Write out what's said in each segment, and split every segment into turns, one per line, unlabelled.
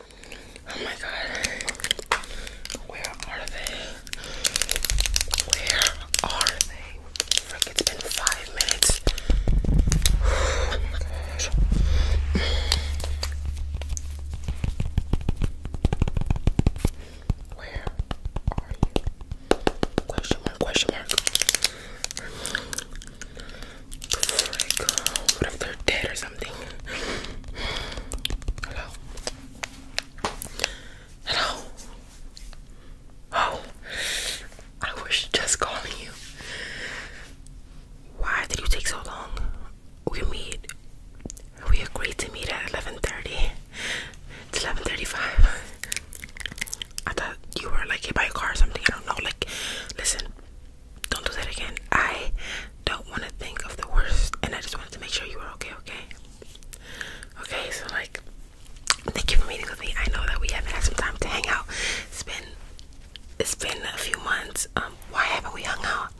Oh my god. Where are they? Where are they? it's been five minutes. Where are you? Question mark, question mark. Frick. What if they're dead or something? Hello? Hello? Oh, I was just calling you. Why did you take so long? We meet. We agreed to meet at 11.30. It's 11.35. I thought you were like hit by a car or something. I don't know. Like, listen, don't do that again. I don't want to think of the worst, and I just wanted to make sure you were okay, okay? Okay, so like, thank you for meeting with me. I know that we haven't had some time to hang out. It's been, it's been a few months. Um, why haven't we hung out?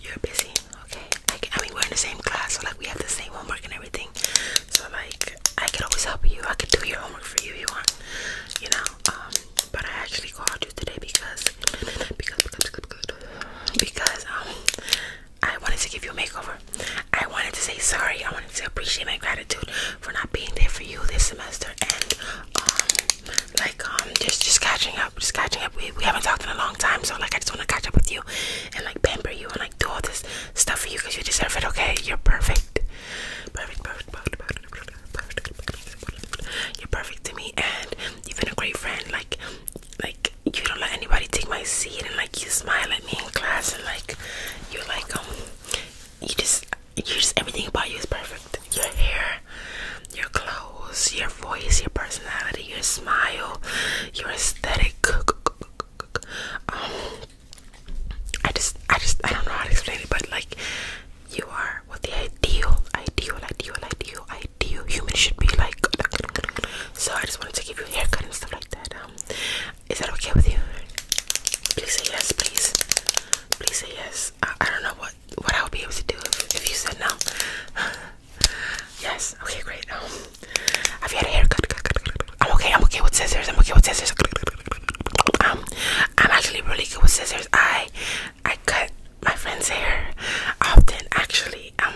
You're busy, okay? I, mean, we're in the same class, so like, we have the same homework and everything. So like, I can always help you. I can do your homework for you if you want. You know, um, but I actually called you today because because because, because um I wanted to give you a makeover. I wanted to say sorry. I wanted to appreciate my gratitude for not being there for you this semester and um like um just just catching up, just catching up. We we haven't talked in a long time, so like I just want to catch up with you and like pamper you and like do all this stuff for you because you deserve it. Okay, you're perfect, perfect, perfect, perfect, perfect, you're perfect to me, and you've been a great friend. Like, like you don't let anybody take my seat, and like you smile at me in class, and like you're like um, you just you just everything about you is perfect. Your hair, your clothes, your voice, your personality, your smile, your aesthetic. Um, I just, I just, I don't know how to explain it, but like, you are what the ideal, ideal, ideal, ideal, ideal human should be like. So I just wanted to give you a haircut and stuff like that. Um, is that okay with you? Please say yes, please. Please say yes. I, I don't know what what I would be able to do if, if you said no. yes. Okay, great. Um, have you had a haircut? I'm okay. I'm okay with scissors. I'm okay with scissors. Um, I'm actually really good with scissors. I I cut my friend's hair often. Actually, um,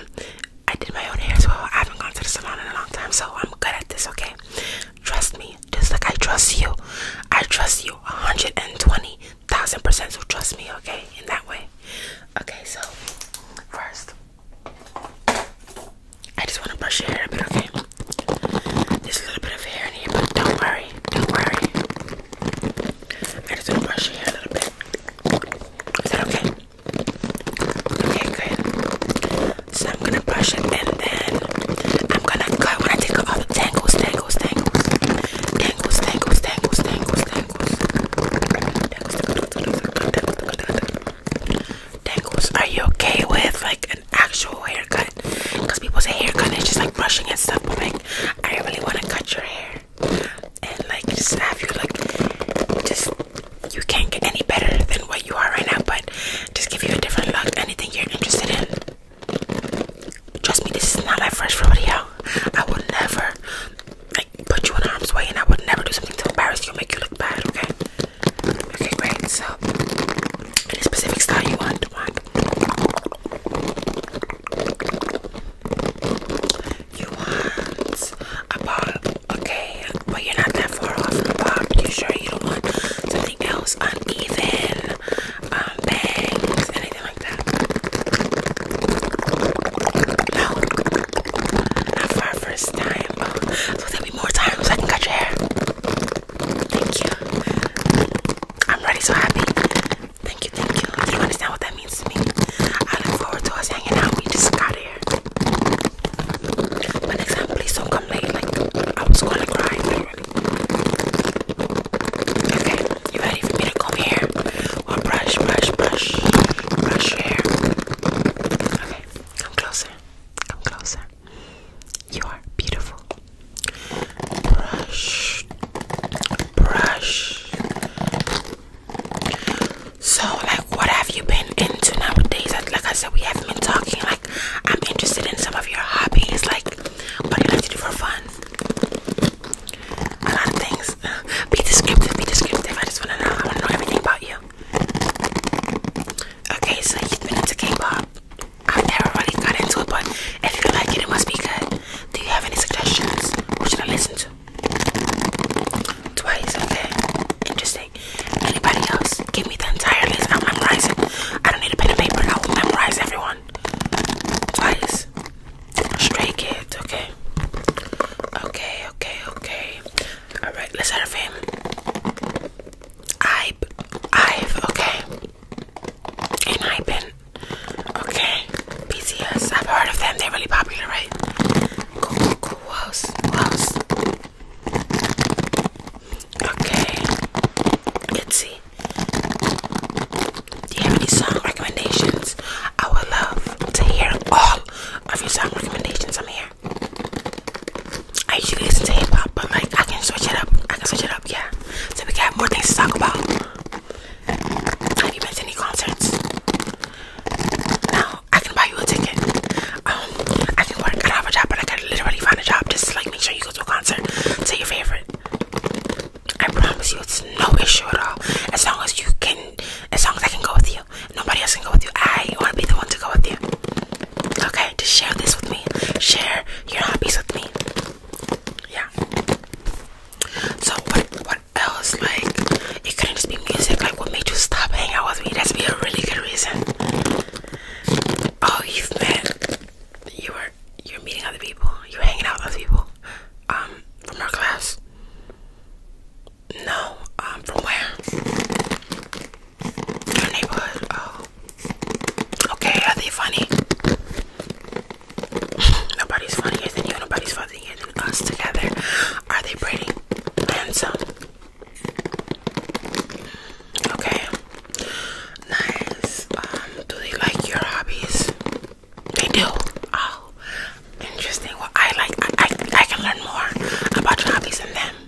I did my own hair as well. I haven't gone to the salon in a long time, so I'm good at this. Okay, trust me. Just like I trust you, I trust you 120 thousand percent. So trust me, okay? In that way. Okay, so first, I just want to brush your hair a Okay. There's a little bit of hair in here, but don't worry, don't worry. I just gonna brush your hair a little bit. Is that okay? Okay, good. So I'm gonna brush it and then I'm gonna cut when I take off all the tangles, tangles, tangles, tangles, tangles, tangles, tangles, tangles, tangles, tangles. Tangles. Are you okay with like a actual haircut because people say haircut is just like brushing and stuff but like I really want to cut your hair and like just you like just you can't get any better than what you are right now but just give you a different look anything you're interested in trust me this is not like fresh rodeo I would never like put you in harm's way and I would never do something to embarrass you or make you look bad okay okay great so any specific style you want you want a bob, okay, but you're not that far off the bob. You sure you don't want something else uneven, um, bangs, anything like that? No, not for our first time. Oh, so there'll more times so I can cut your hair. Thank you. I'm really so happy. Thank you, thank you. Do you understand what that means to me? I look forward to us hanging out. We just got here. But next time, please don't come late. Like, I was gonna cry, Okay, you ready for me to comb hair? Or brush, brush, brush, brush hair? Okay, come closer. Come closer. You are beautiful. Brush, brush. So, like, what have you been into nowadays? Like I said, we haven't been talking. Like, I'm interested in some of your hobbies. Like, what do you like to do for fun? A lot of things. Be descriptive. Be descriptive. I just wanna know. I wanna know everything about you. Okay, so you've been into K-pop. I've never really got into it, but if you like it, it must be good. Do you have any suggestions? What should I listen to? Twice, okay. Interesting. Anybody else? Give me the entire list. I'll memorize I don't need a pen and paper. I will memorize everyone. Twice. Stray kids, okay. Okay, okay, okay. Alright, let's have him. I, I've, okay, and I've been, okay, BTS, I've heard of them, they're really popular, right? Cool, cool, cool, who else, who Okay, Itzy, do you have any song recommendations? I would love to hear all of your song recommendations, I'm here. I usually listen to hip hop, but like I can switch it up. I can switch it up, yeah. So we can have more things to talk about. Have you been to any concerts? Now I can buy you a ticket. Um, I can work. I don't have a job, but I can literally find a job just like make sure you go to a concert to your favorite. I promise you, it's no issue at all. As long as you can, as long as I can go with you, nobody else can go with you. I want to be the one to go with you. Okay, just share this with me. Share you're not peace with me. Yeah. So what what else? Like it couldn't just be music, like what made you stop hanging out with me? That's be a really good reason. Oh, you've met you were you're meeting other people, you're hanging out with people. Um, from our class. No, um, from where? Your neighborhood? Oh. Okay, are they funny? Nobody's funnier than you. Nobody's funnier than us together. Are they pretty? Handsome? Okay. Nice. Um, do they like your hobbies? They do. Oh, interesting. Well, I like. I I, I can learn more about your hobbies and them.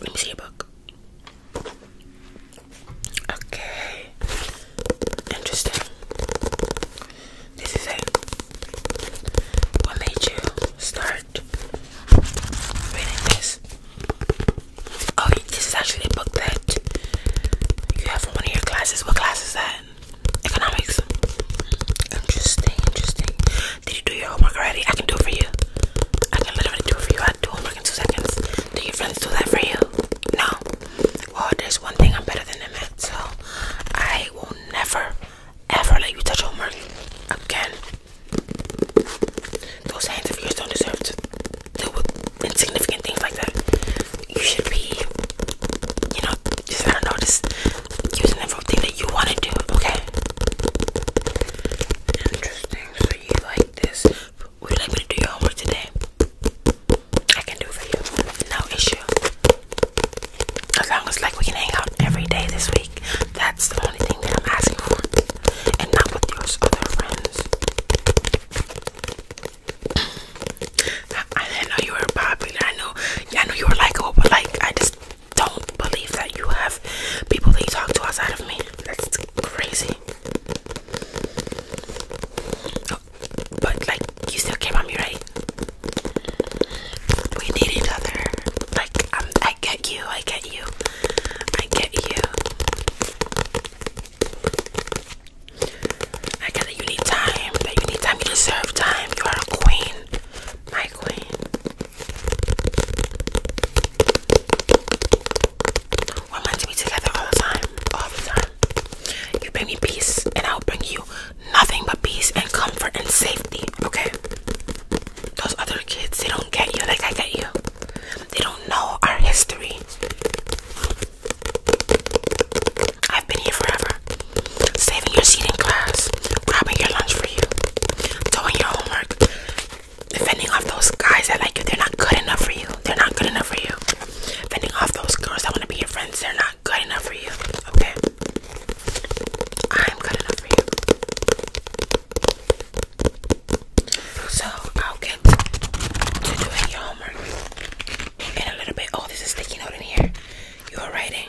Let me see your book. Okay. Interesting. This is it. What made you start reading this? Oh, this is actually a book that you have in one of your classes. What class is that? Economics. Interesting, interesting. Did you do your homework already? I can do it for you. I can literally do it for you. I do homework in two seconds. Do your friends do that for you? No. Well, there's one thing I'm better than them at, so I will never, ever let you touch homework again. Those hands of yours don't deserve to do insignificant things like that. You should be, you know, just I don't know, just using everything that you want to do. Okay. Interesting. So you like this? Would you like me to do your homework today? I can do for you. No issue. As long as like we can hang out every day this week. That's the only thing that I'm asking for. And not with your other friends. I, didn't know you were popular. I know I know you were likable, but like I just don't believe that you have people that you talk to outside of me. That's crazy. but like, you still care about me, right? We need each other. Like, I get you. I get you. I get you. I get that you need time. That you need time. You deserve time. You are a queen. My queen to be together all the time, all the time. You bring me peace, and I'll bring you nothing but peace and comfort and safety. Okay? Those other kids, they don't get you like I get you. They don't know our history. I've been here forever. Saving your seat in class, grabbing your lunch for you, doing your homework, Defending off those guys that like you, they're not good enough for you. They're not good enough for you. Fending off those girls that want to be your friends, they're not good enough for you. Okay. I'm good enough for you. So i to doing your homework in a little bit. Oh, there's a sticky note in here. You are writing.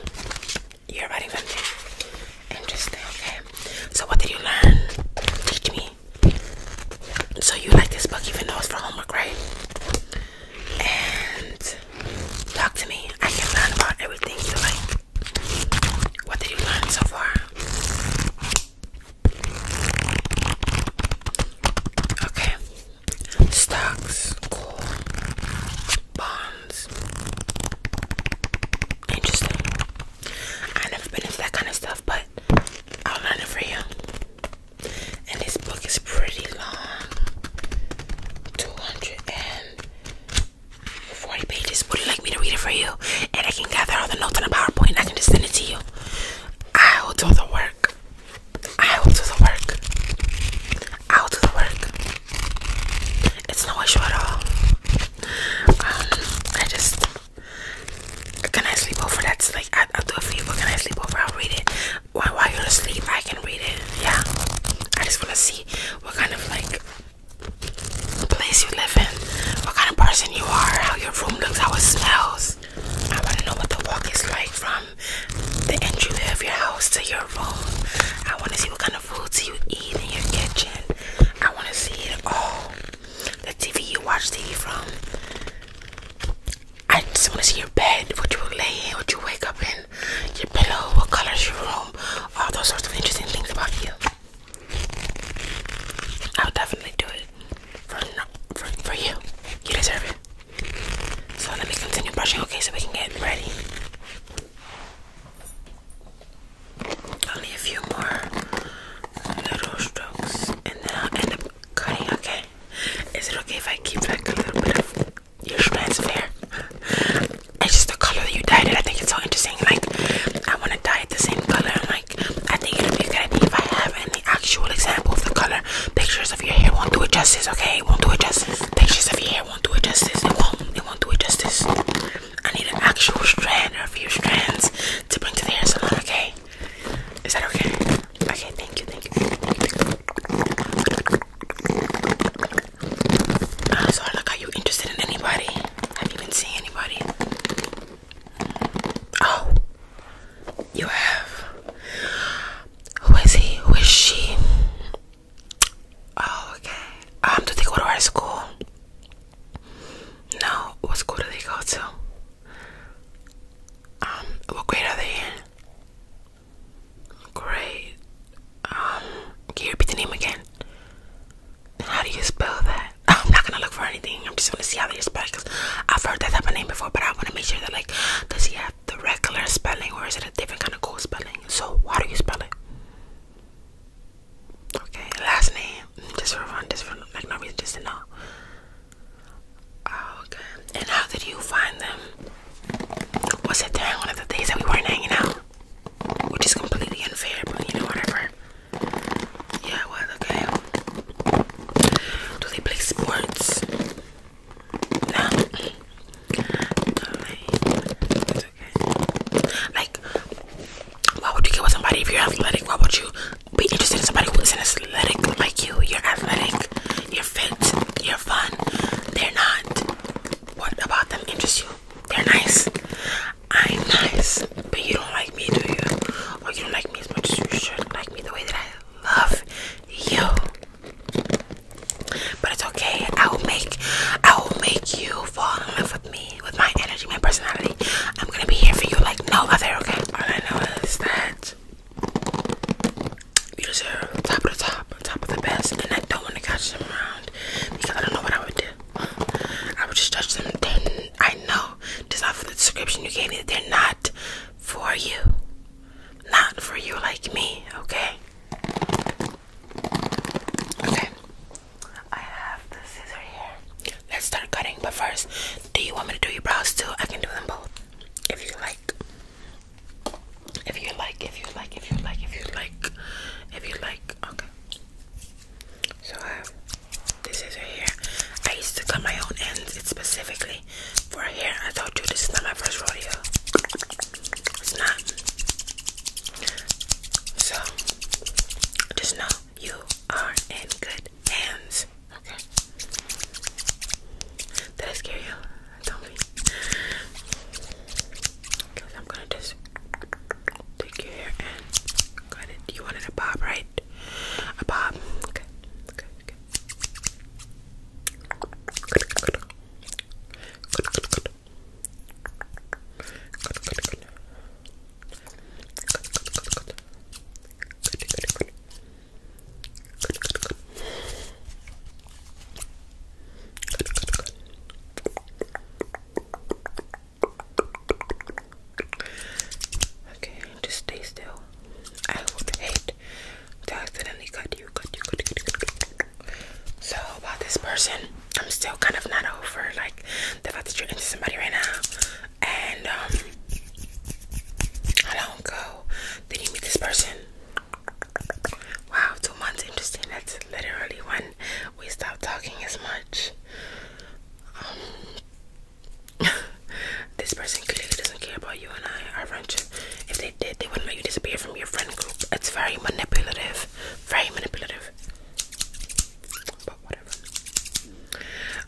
You're very interesting. Okay. So what did you learn? Teach me. So you like this book even though it's for homework, right? And talk to me. I can learn about everything you like. What did you learn so far? Okay. Stocks, cool. Bonds. Interesting. I've never been into that kind of stuff, but I'll learn it for you. And this book is pretty long 240 pages. Would you like me to read it for you? And I can gather all the notes on a PowerPoint and I can just send it to you. I will do the work. I will do the work. I will do the work. It's no issue at all. Um, I just can I sleep over? That's like I, will do it for you. But can I sleep over? I'll read it while while you're asleep. I can read it. Yeah. I just wanna see what kind of like place you live in, what kind of person you are, how your room looks, how it smells. I wanna know what the walk is like from the entry of your house to your room. I wanna see what kind of the foods you eat in your kitchen. I want to see it all. The TV you watch TV from. I just want to see your bed, what you lay in, what you wake up in, your pillow, what color is your room, all those sorts of interesting things about you. I'll definitely do it for for you. You deserve it. So let me continue brushing, okay, so we can get ready. Only a few more little strokes and then I'll end up cutting, okay? Is it okay if I keep like a little bit of your strands of hair? It's just the color that you dyed it. I think it's so interesting. Like, I want to dye it the same color. i like, I think it'll be a good idea if I have any actual example of the color. Pictures of your hair won't do it justice, okay? won't do it justice. Pictures of your hair won't do it justice. It won't. It won't do it justice. I need an actual strand or a few strands to bring to the hair salon, okay? Is that okay? Okay, thank you, thank you. Uh, so, are you interested in anybody? Have you been seeing anybody? Oh, you have. Who is he? Who is she? Oh, okay. Um, do they go to our school? No, was good they go to? Um, what grade are they in? Great. Um, can you repeat the name again? How do you spell that? I'm not gonna look for anything. I'm just gonna see how they spell it because I've heard that type of name before, but I want to make sure that, like, does he have the regular spelling or is it a different kind of cool spelling? So, why do you spell it? Okay, last name. Just for fun, just for like no reason, just to know. Oh, okay. And how did you find them? Was it during one of the days that we weren't hanging out? Which is completely unfair, but you know, whatever. Yeah, okay. Do they play sports? No. Like, why would you get with somebody if you're athletic? Why would you be interested in somebody who isn't athletic like you? You're athletic, you're fit, you're fun. They're not. What about them interests you? They're nice. I'm nice, but you don't like me, do you? Or you don't like me as much as you should like me the way that I love you. But it's okay. I will make I will make you fall in love with me with my energy, my personality. I'm gonna be here for you like no other, okay? All I know is that you deserve top of the top, top of the best, and I don't want to catch them around because I don't know what I would do. I would just judge them. Then I know just off the description you gave me that they're not for you, not for you like me, okay? Okay, I have the scissor here. Let's start cutting. But first, do you want me to do your brows too? I can do them both. If you like. If you like, if you like, if you like, if you like, if you like. Okay. So I have this scissor here. I used to cut my own ends. specifically for hair. I told you this is not my first rodeo. It's not. So just know you are in good hands. Okay. Did I scare you? Tell me. Because I'm gonna just take your hair and cut it. You wanted a bob, right? A bob. Okay. Okay. Okay. Good. Good. Good. Good. Good. Okay, just stay still. I would hate to accidentally cut you. So about this person, I'm still kind of not over like the fact that you're into somebody right now, and um, how long ago did you meet this person? Wow, two months. Interesting. That's literally when we stopped talking as much. Um, this person clearly doesn't care about you and I, our friendship. If they did, they wouldn't let you disappear from your friend group. It's very manipulative. Very manipulative. But whatever.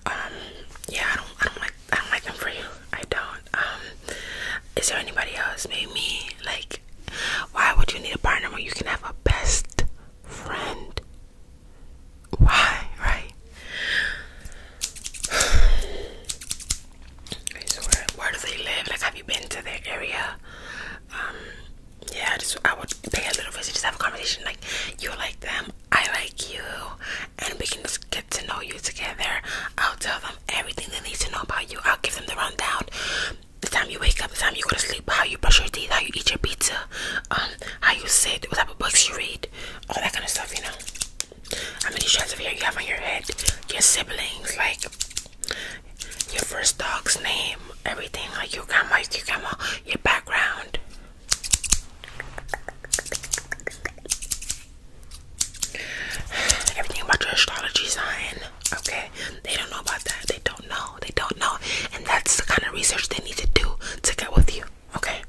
Um, yeah, I don't I don't like I don't like them for you. I don't. Um is there anybody else? Maybe me like why would you need a partner when you can have a best friend? Why, right? okay, so where, where do they live? Like have you been to their area? Um yeah, just I would pay a little visit, just have a conversation like you like them, I like you, and we can just get to know you together. I'll tell them everything they need to know about you. I'll give them the rundown. The time you wake up, the time you go to sleep, how you brush your teeth, how you eat your pizza, um, how you sit, what books you read, all that kind of stuff, you know. How many strands of hair you have on your head, your siblings, like your first dog's name, everything like your grandma, your grandma, your background. Everything about your astrology sign. Okay, they don't know about that. They don't know. They don't know, and that's the kind of research they need to do to get with you. Okay,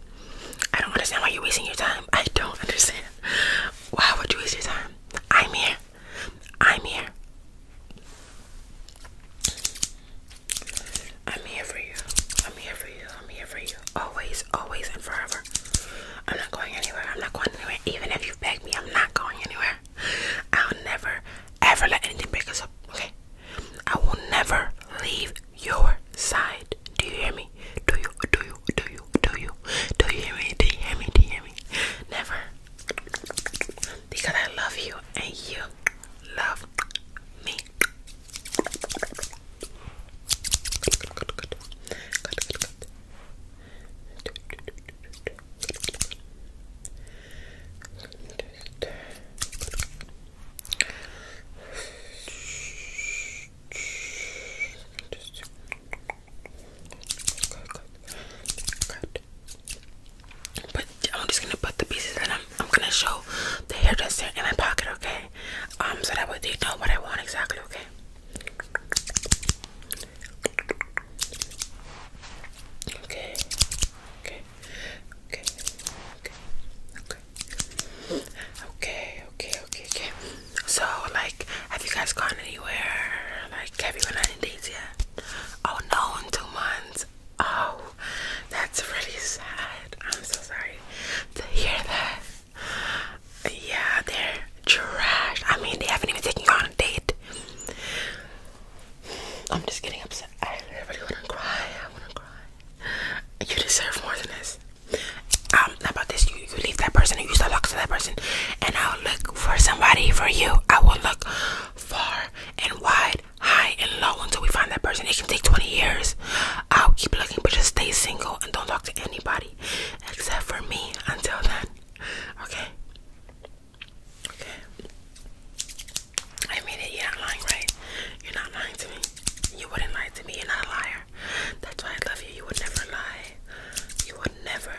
I don't understand why you're wasting your time. I don't understand. Why would you waste your time? I'm here. I'm here. I'm here for you. I'm here for you. I'm here for you. Always, always, and forever. I'm not going anywhere. I'm not going anywhere. Even if you beg me, I'm not going anywhere. I'll never, ever let anything break us up. Okay? I will never leave your side. Do you hear me? Do you? Do you? Do you? Do you? Do you hear me? Do you hear me? Do you hear me? Never because I love you and you love me. But I'm just gonna put the pieces that I'm I'm gonna show the hairdresser in my pocket, okay? Um, so that way they know what I want exactly, okay? Okay, okay, okay, okay, okay, okay, okay, okay, okay. So, like, have you guys gone anywhere? Like, have you gone on any dates yet? Oh no, in two months. Oh, that's really sad. I'm so sorry to hear that. Yeah, they're trash. I mean, they haven't even taken you on a date. I'm just getting upset. I really want to cry. I want to cry. You deserve more than this. Um, about this, you, you leave that person, you used to look to that person, and I'll look for somebody for you. I will look far and wide, high and low until we find that person. It can take 20 years. I'll keep looking, but just stay single and don't talk to anybody except for me until then. Okay. Okay. I mean it. You're not lying, right? You're not lying to me. You wouldn't lie to me. You're not a liar. That's why I love you. You would never lie. You would never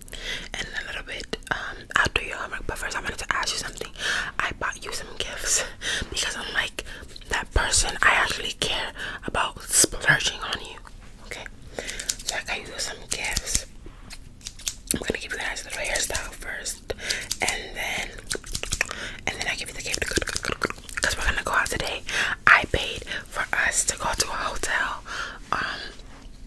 in a little bit. Um, i your homework, but first I wanted to ask you something. I bought you some gifts because I'm that person. I actually care about splurging on you. Okay, so I got you some gifts. I'm gonna give you guys a hairstyle first, and then and then I give you the gift because we're gonna go out today. I paid for us to go to a hotel. Um,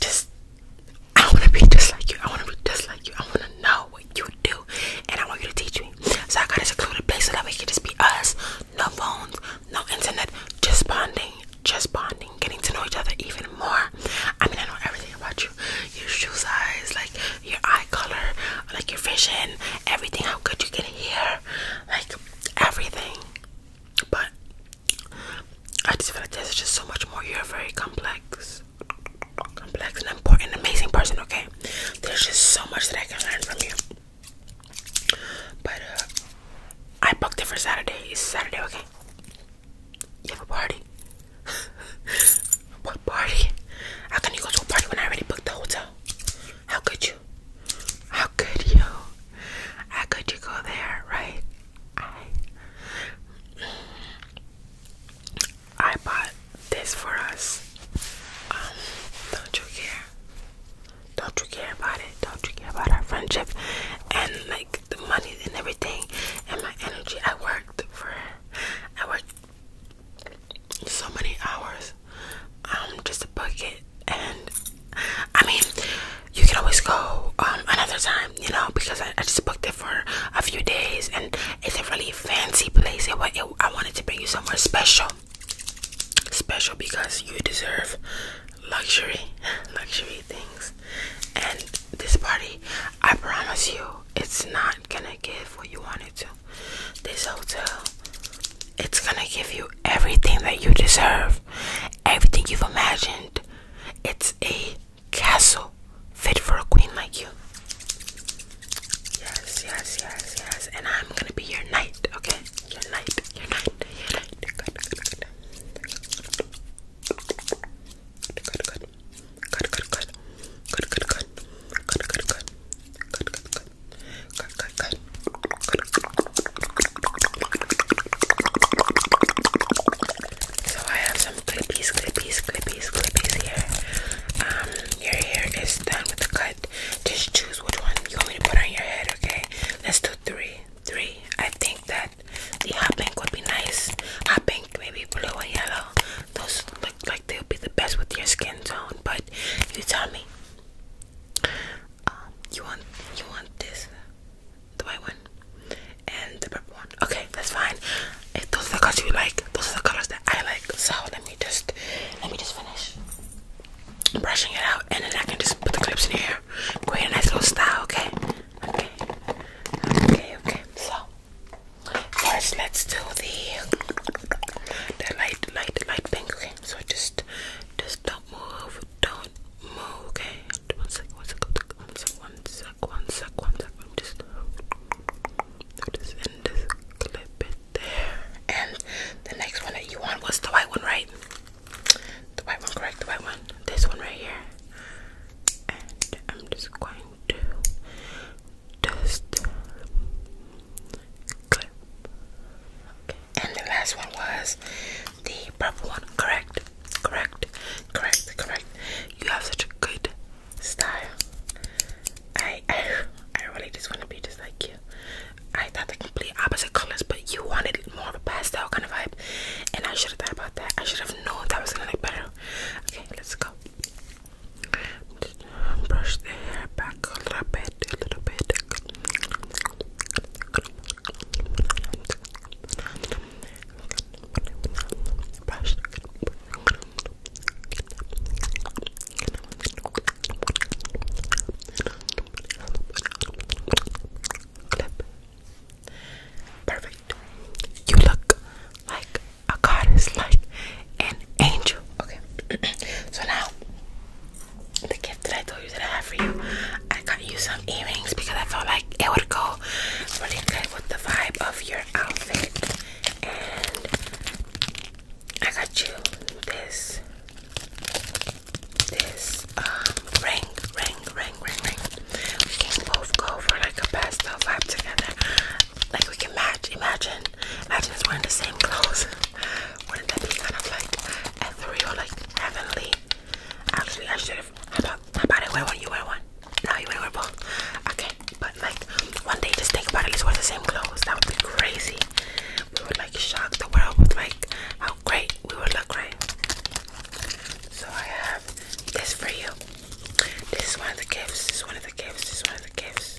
just I want to be just like you. I want to be just like you. I want to know what you do, and I want you to teach me. So I got a secluded place so that we can just be us. No phones, no internet, just bonding, just bonding, getting to know each other even more. I mean, I know everything about you. Your shoe size, like your eye color, like your vision, everything. How good you can hear, like everything. But I just feel like there's just so much more. You're a very complex, complex and important, amazing person. Okay, there's just so much that I can learn from you. But uh, I booked it for Saturday. It's Saturday, okay? You have a party? what party? How can you go to a party when I already booked the hotel? How could you? How could you? How could you go there, right? I I bought this for us. Um, don't you care? Don't you care about it? Don't you care about our friendship and like the money and everything and my energy? I worked for I worked so many hours I'm um, just a bucket, and I mean you can always go um, another time you know because I, just booked it for a few days and it's a really fancy place i wanted to bring you somewhere special special because you deserve luxury luxury things and this party i promise you it's not gonna give what you wanted to this hotel it's gonna give you everything that you deserve everything you've imagined it's a castle fit for a queen like you. Yes, yes, yes, yes. And I'm gonna be your knight, okay? Your knight, your knight, your knight. Good, good, good. Good, good, good. Good, good, good. Good, good, good. Good, good, good. Good, good, good. Good, good, good. Good, good, good. So I have some clippies, clippies, clippies, clippies here. Um, your hair is done with the cut. Just choose which one you want me to put on your head, okay? Let's do three. Three. I think that the hot pink would be nice. Hot pink, maybe blue and yellow. Those look like they'll be the best with your skin tone, but you tell me. Um, you want you want this, the white one, and the purple one. Okay, that's fine. If eh, those are the colors you like, those are the colors that I like. So let me just let me just finish brushing it out, and then I can just put the clips in here, create a nice little style. Okay, okay, okay, okay. So first, let's do the the light, light, light pink. Okay, so just just don't move, don't move. Okay, one sec, one sec, one sec, one sec, one sec, one sec. I'm just, just end this clip it there. And the next one that you want was the white one, right? The white one, correct? The white one. This one right here. And I'm just going to just clip. Okay. And the last one was the purple one, correct? Correct, correct, correct. You have such a good style. I, I, I really just want to be just like you. I thought the complete opposite colors, but you wanted more of a pastel kind of vibe, and I should have thought about that. I should have known that was gonna look better. Okay, let's go. brush the hair back a little bit, a little bit brush perfect you look like a goddess like an angel okay so now the that I told you that I have for you. I got you some earrings because I felt like it would go really good with the vibe of your outfit. And I got you this this um ring, ring, ring, ring, ring. We can both go for like a pastel vibe together. Like we can match. Imagine, imagine us wearing the same clothes. Wouldn't that be kind of like ethereal, like heavenly? Actually, I should have. How about, how about I wear one? You wear one? Now you wear both. Okay, but like one day, just think about it. Let's wear the same clothes. That would be crazy. We would like shock the world with like how great we would look, right? So I have this for you. This is one of the gifts. This is one of the gifts. This is one of the gifts.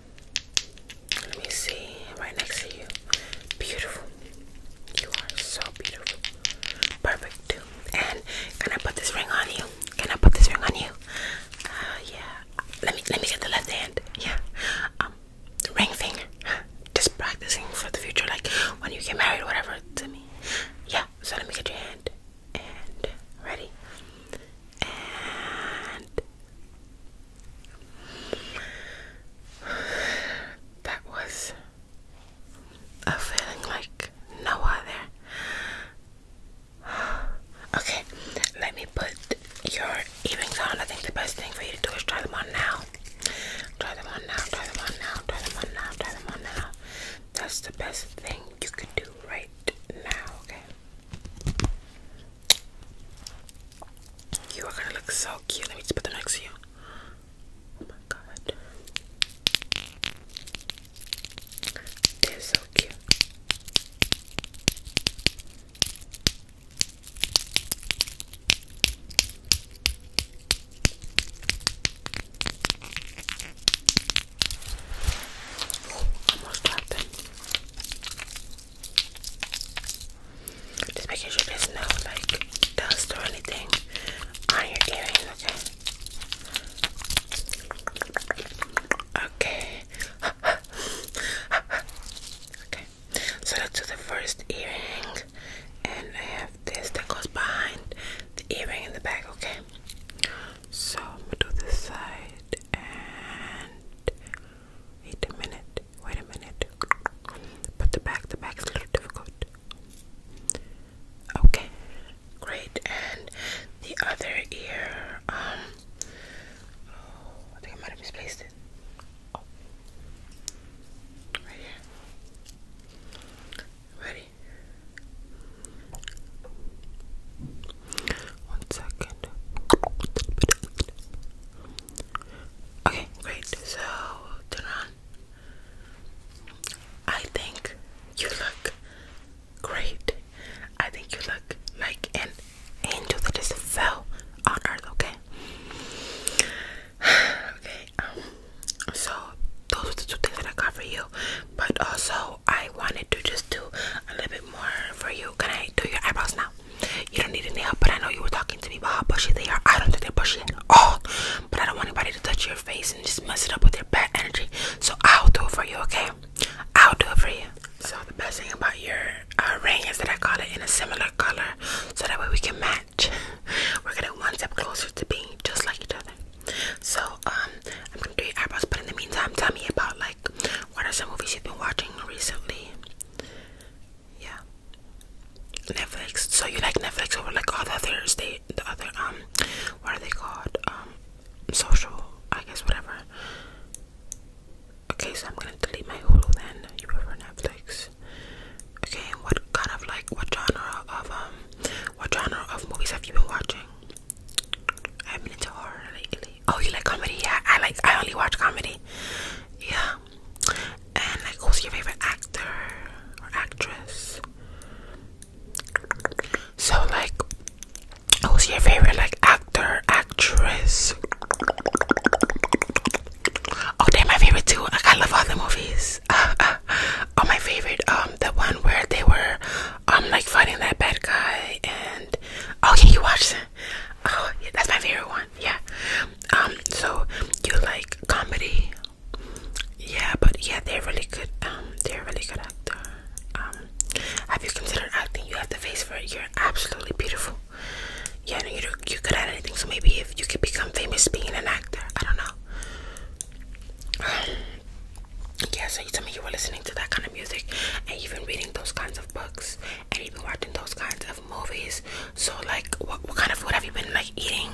Let me see. Right next to you. Beautiful. You are so beautiful. Perfect And can I put this ring on you? Can I put this ring on you? Uh, yeah. Let me let me get the left hand. Yeah. Um, ring finger. Just practicing for the future, like when you get married, whatever. To me. Yeah. So let me get your hand. And ready. And that was a feeling like no other. Okay, let me put your earrings on. I think the best thing for you to do is try them on now. Try them on now, try them on now, try them on now, try them on now. That's the best thing you could do right now, okay? You are gonna look so cute. Let me just put them next to you. Oh my god. They're so cute. Ooh, almost dropped just making sure there's no like dust or anything on your earring, okay? Okay. okay. So let's do the first earring and I have this that goes behind the earring in the back, okay? So I'm gonna do this side and Wait a minute, wait a minute. But the back, the back's a little difficult. Okay, great. And the other ear, um, oh, I think I might have misplaced it. Oh, right here. Ready? One second. Okay, great. So turn on. I think you look great. I think you look like an angel that just fell on earth, okay? okay, um so those are the two things that I got for you. But also I wanted to just do a little bit more for you. Can I do your eyebrows now? You don't need any help, but I know you were talking to me about how bushy they are. I don't think they're bushy at all, but I don't want anybody to touch your face and just mess it up with their bad energy. So I'll do it for you, okay? I'll do it for you. So the best thing about your uh, ring is that I got it in a similar color, so that way we can match. We're getting one step closer to being just like each other. So um, I'm gonna do your eyebrows, but in the meantime, tell me about like what are some movies you've been watching recently yeah netflix so you like netflix over like all the other state the other um what are they called um social i guess whatever okay so i'm gonna delete my hulu then you prefer netflix okay what kind of like what genre of um what genre of movies have you been watching i've been into horror lately Oh, you like comedy? Yeah, I like. I only watch comedy. Yeah. And like, who's your favorite actor or actress? So like, who's your favorite like actor, actress? Oh, they're my favorite too. Like, I love all the movies. oh, my favorite. Um, the one where they were, um, like fighting that bad guy, and oh can you watch them? oh, yeah, that's my favorite one. Yeah. Um. So you like comedy? Yeah, but yeah, they're really good. Um, they're really good actor. Um, have you considered acting? You have the face for it. You're absolutely beautiful. Yeah, no, you're you could good anything. So maybe if you could become famous being an actor, I don't know. yeah, so you tell me you were listening to that kind of music and you've been reading those kinds of books and you've been watching those kinds of movies. So, like, what, what kind of food have you been like eating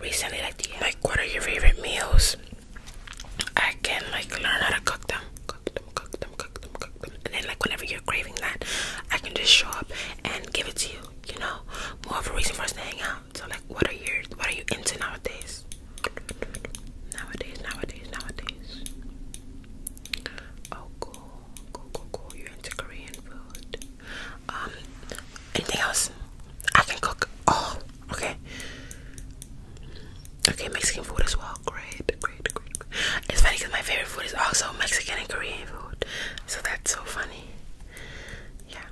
recently? Like, do you, like, what are your favorite meals? I can like learn how to cook them, cook them, cook them, cook them, cook them, and then like whenever you're craving that, I can just show up and give it to you. You know, more of a reason for us to hang out. So, like, what are your, what are you into nowadays? Nowadays, nowadays, nowadays. Oh, cool. Cool, cool, cool. You're into Korean food. Um, anything else? I can cook. Oh, okay. Okay, Mexican food as well. Great, great, great. It's funny because my favorite food is also Mexican and Korean food. So that's so funny. Yeah.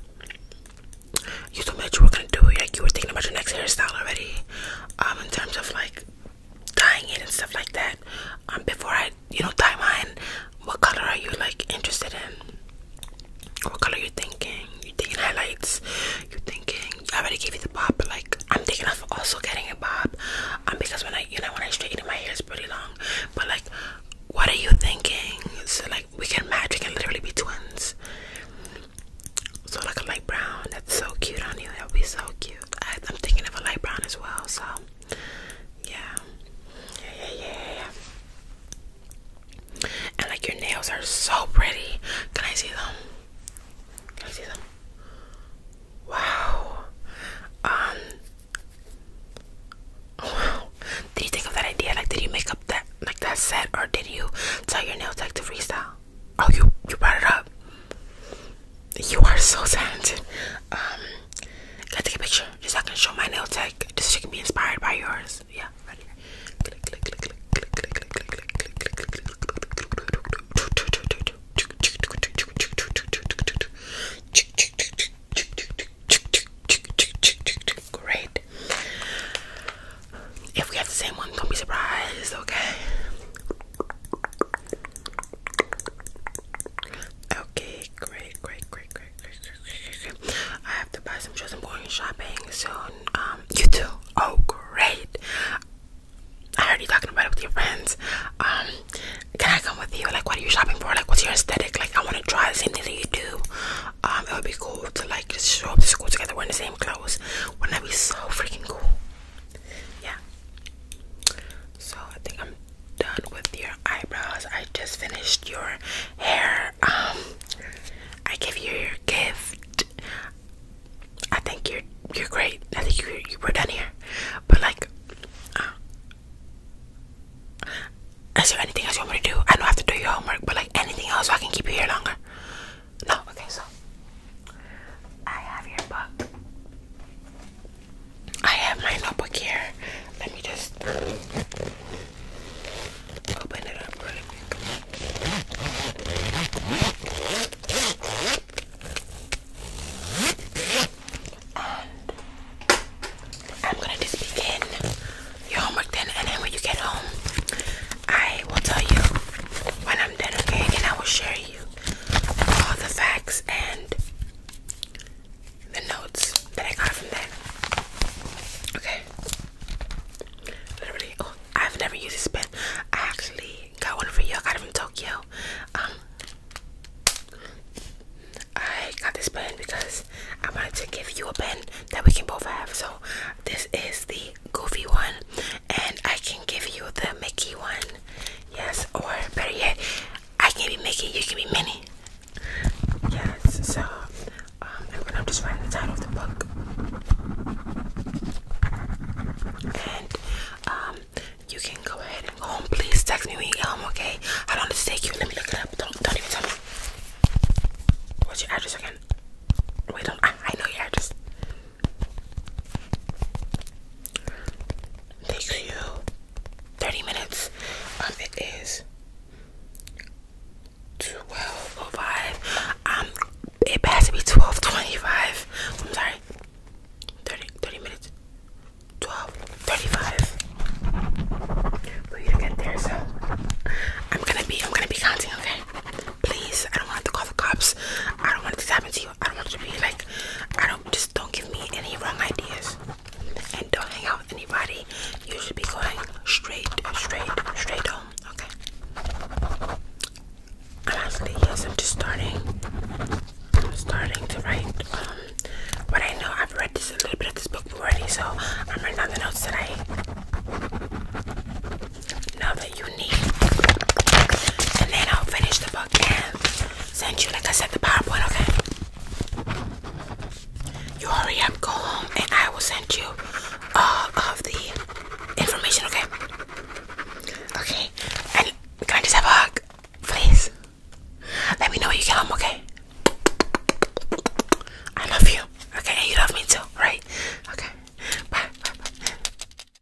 You told me that you were gonna do it. Like you were thinking about your next hairstyle already. Um, in terms of like Dying it and stuff like that um before i you know dye mine what color are you like interested in what color you thinking you thinking highlights you thinking i already gave you the bob but like i'm thinking of also getting a bob um because when i you know when i straighten my hair it's pretty long but like what are you thinking so like we can match we can literally be twins so like a light brown that's so cute on you that would be so cute I, I'm thinking of a light brown as well, so yeah. Yeah, yeah, yeah, yeah. And like your nails are so pretty. Can I see them? Can I see them? Wow. Um. Wow. Did you think of that idea? Like, did you make up that like that set, or did you tell your nails like to freestyle? Oh, you you brought it up. You are so talented. Um, gotta take a picture just so I can show my nail tech. Just so you can be inspired by yours. Yeah, right here. Click, click, click, click, click, click, click, click, click, click, click, click, Great. If we have the same one, don't be surprised, okay? Okay, great, great, great, great, great, great, great. I have to buy some shoes. and am going shopping soon. Um, you too. Oh, great. I heard you talking about it with your friends. Um, can I come with you? Like, what are you shopping for? Like, what's your aesthetic? Like, I want to try the same thing that you do. Um, it would be cool to like just show up to school together wearing the same clothes. Wouldn't that be so freaking cool? Yeah. So I think I'm done with your eyebrows. I just finished your hair. Um, I give you your gift. I think you're you're great. Now that you you were done here. But like, uh, is there anything else you want me to do? I don't have to do your homework, but like anything else, so I can keep you here longer. No, okay. So I have your book. I have my notebook here. Let me just open it up really quick. I'm gonna just begin your homework then, and then when you get home, I will tell you when I'm done, okay? And I will share all the facts and the notes that I got from that. Okay. Literally, oh, I've never used this pen. I actually got one for you. I got it from Tokyo. Um, I got this pen because I wanted to give you a pen that we can both have. So this is the goofy one, and I can give you the Mickey one. Yes, or better yet, I can be making, you can be many. Yes, so um, I'm gonna just write the title of the book. And um, you can go ahead and go home. Please text me when you get home, okay? I long does it take you? Let me look it up. Don't, don't even tell me. What's your address again? Wait, do I know your address. Takes you 30 minutes. Um, it is 12.05. Um, it has to be 12.25. I'm sorry. 30, minutes. 12.35 for you to get there, so I'm gonna be, I'm gonna be counting, okay? Please, I don't want to call the cops. I don't want this to happen to you. I don't want to be like I don't just don't give me any wrong ideas and don't hang out with anybody. You should be going straight, straight, straight home. Okay. And I'm just starting. I'm starting to write um what I know. I've read this a little bit of this book already, so I'm writing down the notes that I now that you need. And then I'll finish the book and send you, like I said, the PowerPoint, okay? You hurry up, go home, and I will send you all of the information, okay? Okay. And can I just have a hug? Please. Let me know when you get home, okay? I love you. Okay, and you love me too, right? Okay. Bye. Bye. Bye.